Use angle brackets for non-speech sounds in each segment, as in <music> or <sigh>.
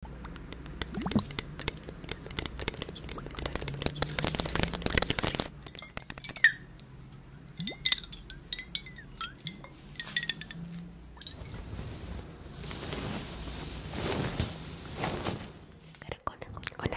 Caracola, hola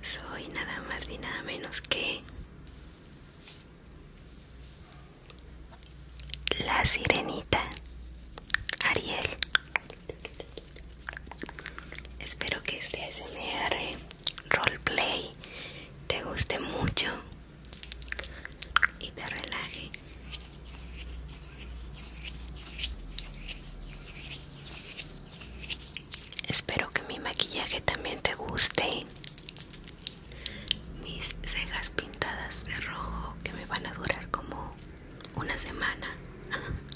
soy nada más ni nada menos que la sirenita Ariel. Espero que este ASMR roleplay te guste mucho y te relaje. Espero que mi maquillaje también te guste. Mis cejas pintadas de rojo que me van a durar como una semana. <laughs>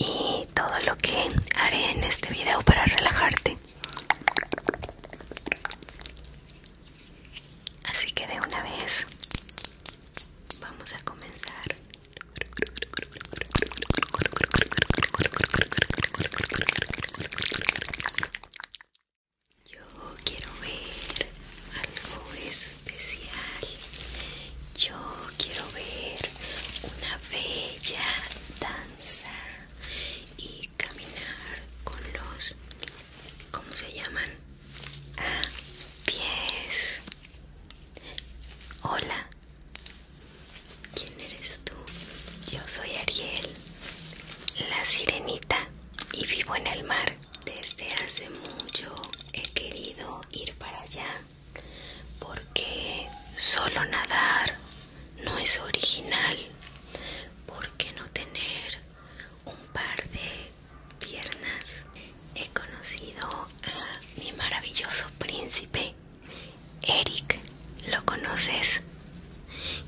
Y todo lo que haré en este video para relajarte. Así que de una vez vamos a comenzar. Yo quiero ver algo especial. Yo quiero ver una bella danza y caminar con los, ¿cómo se llaman? A ah, pies. Hola, ¿Quién eres tú? Yo soy Ariel, la sirenita, y vivo en el mar. Desde hace mucho he querido ir para allá, porque solo nadar no es original. ¿Por qué no tener un par de piernas? He conocido a mi maravilloso príncipe Eric, ¿lo conoces?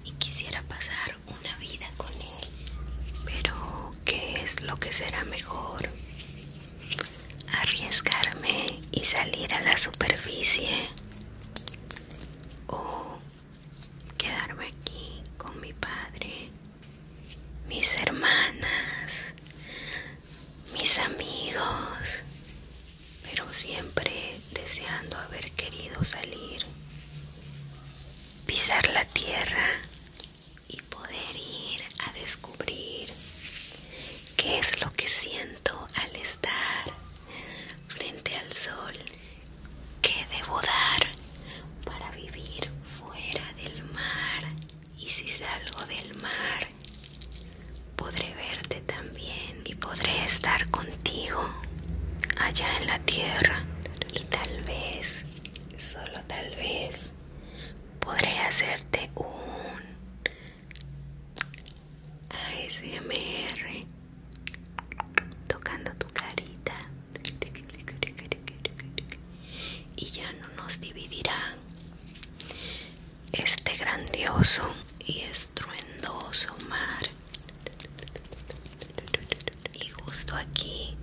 Y quisiera pasar una vida con él. Pero, ¿qué es lo que será mejor? ¿Arriesgarme y salir a la superficie? ¿O quedarme aquí con mi padre, mis hermanas, mis amigos, pero siempre deseando haber querido salir, pisar la tierra y poder ir a descubrir qué es lo que siento al estar frente al sol, qué debo dar para vivir fuera del mar y si salgo del mar, podré verte también y podré estar contigo allá en la tierra y tal vez, solo tal vez, podré hacerte un ASMR tocando tu carita y ya no nos dividirán este grandioso y estruendoso mar. Y justo aquí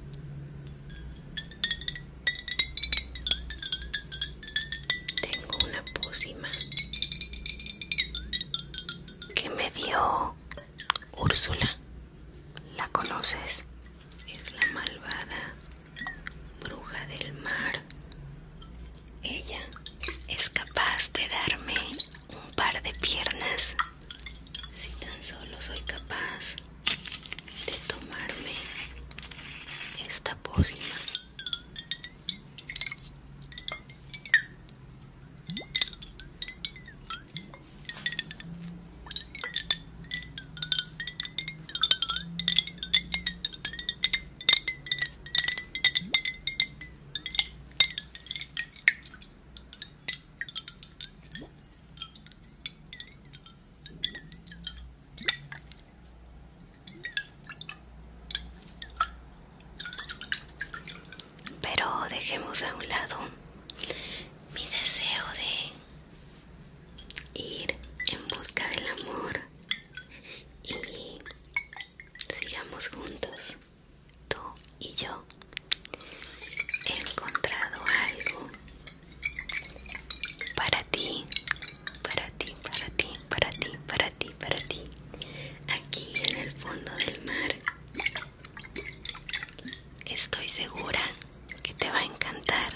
tengo una pócima que me dio Úrsula. ¿La conoces? Es la malvada bruja del mar. Ella es capaz de darme un par de piernas si tan solo soy capaz de tomarme esta pócima. Pero dejemos a un lado mi deseo de ir en busca del amor y sigamos juntos, tú y yo. He encontrado algo para ti, para ti, para ti, para ti, para ti, para ti. Aquí en el fondo del mar. Estoy segura que te va a encantar.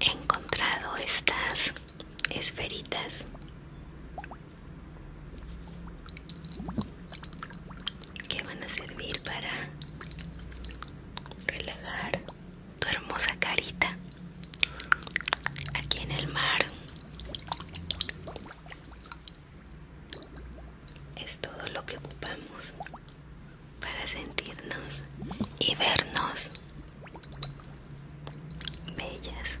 He encontrado estas esferitas. Que van a servir para relajar tu hermosa carita aquí en el mar es todo lo que ocupamos para sentirnos y vernos bellas.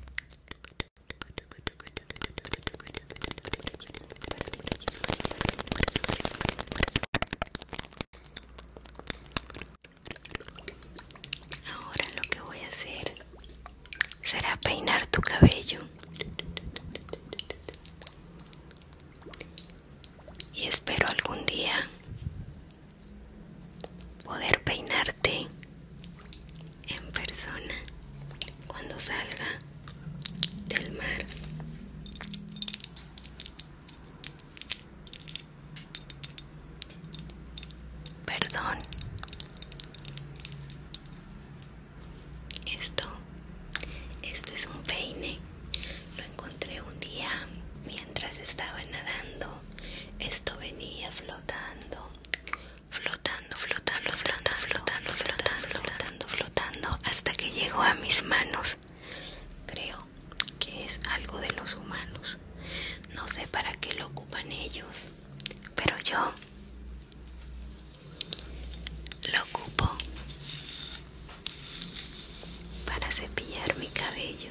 Ahora lo que voy a hacer será peinar tu cabello. Y espero algún día poder peinarte en persona cuando salga del mar. Perdón. Esto, esto es un peine. Lo encontré un día mientras estaba nadando esto venía flotando, flotando, flotando, flotando, flotando, flotando, flotando, flotando, hasta que llegó a mis manos. Creo que es algo de los humanos. No sé para qué lo ocupan ellos, pero yo lo ocupo para cepillar mi cabello.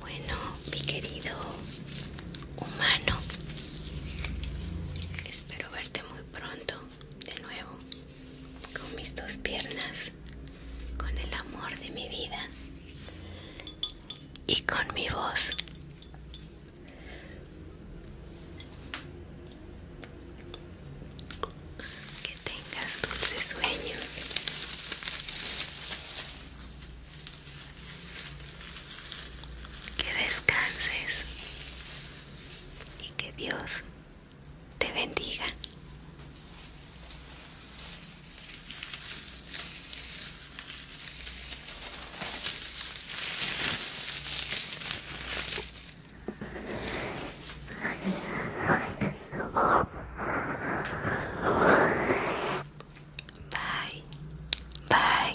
Bueno, mi querido humano, espero verte muy pronto de nuevo con mis dos piernas, con el amor de mi vida y con mi voz. Que tengas dulces sueños. Que descanses y que Dios te bendiga. Bye. Bye.